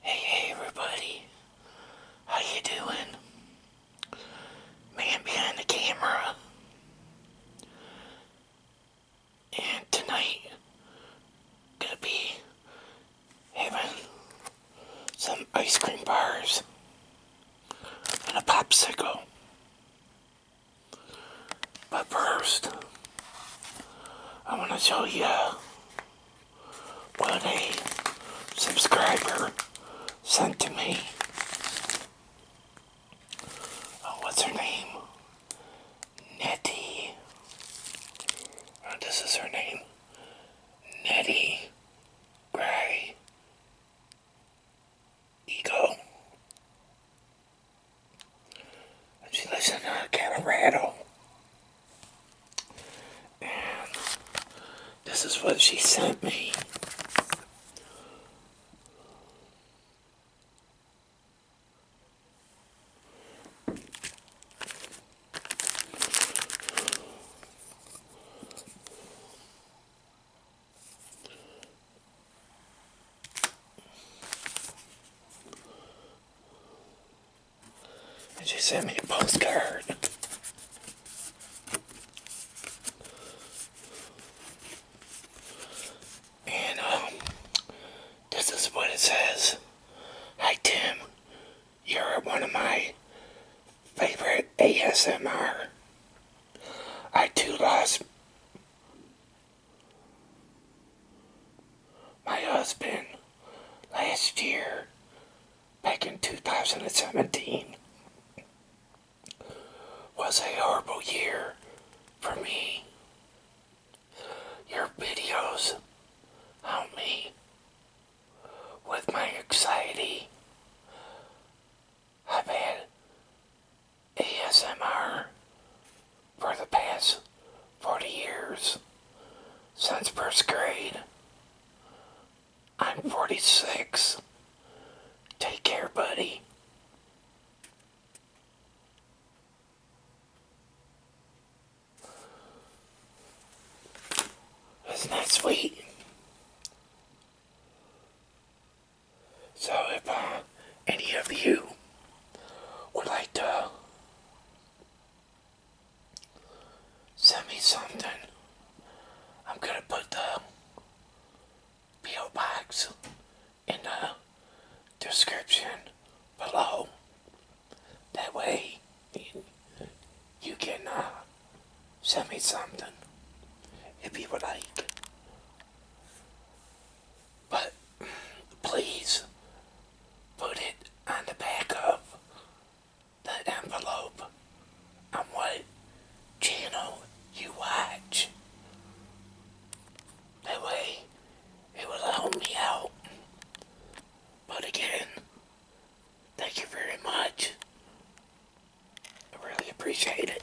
Hey, hey, everybody. How you doing? Man behind the camera. And tonight, gonna be heaven. some ice cream bars and a popsicle. But first... I am going to show you what a subscriber sent to me. Oh, what's her name? Nettie. Oh, this is her name. Nettie Gray Ego. And she lives in uh, Colorado. And this is what she sent me she sent me a postcard. And um, this is what it says. Hi Tim, you're one of my favorite ASMR. I too love." my husband last year, back in 2017, was a horrible year for me. Your videos help me with my anxiety. I've had ASMR for the past 40 years since first grade. I'm 46. Take care, buddy. Isn't that sweet? So if uh, any of you would like to send me something, I'm going to put the P.O. Box in the description below. That way you can uh, send me something if you would like. But please put it on the back of the envelope on what channel you watch. That way it will help me out. But again, thank you very much. I really appreciate it.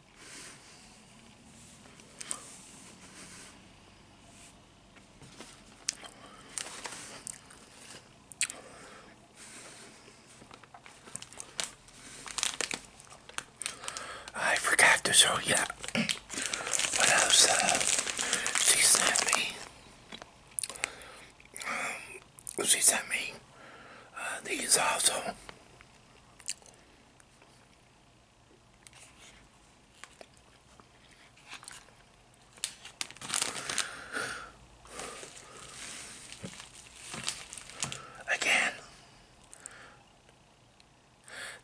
I forgot to show you what else she sent me. Um, she sent me uh, these also. Again,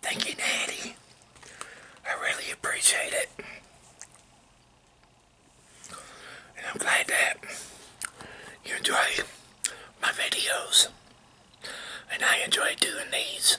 thank you, Natty. I really appreciate it. And I'm glad that you enjoy my videos. And I enjoy doing these.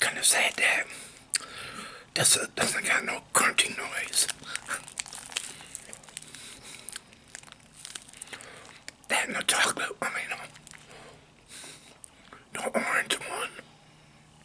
Kind of sad that this doesn't got no crunching noise. That no chocolate, I mean, no orange one.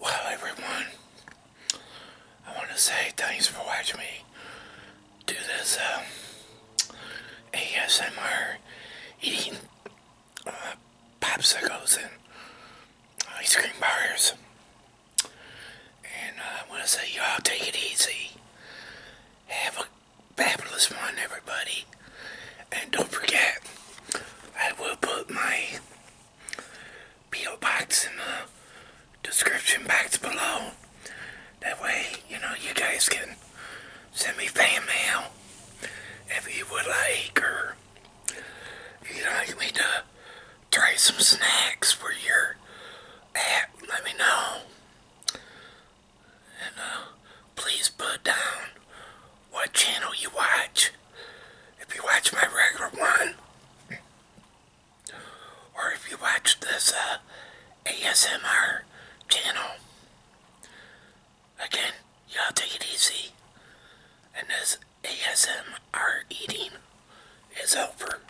Well, everyone, I want to say thanks for watching me do this um, ASMR eating uh, popsicles and ice cream bars. And uh, I want to say, y'all take it easy. Have a fabulous one, everybody. And don't forget, I will put my P.O. box in the description box below. That way, you know, you guys can send me fan mail if you would like, or you'd like me to try some snacks for your are let me know. And uh, please put down what channel you watch. If you watch my regular one, or if you watch this uh, ASMR channel. Again, y'all take it easy. And this ASMR eating is over.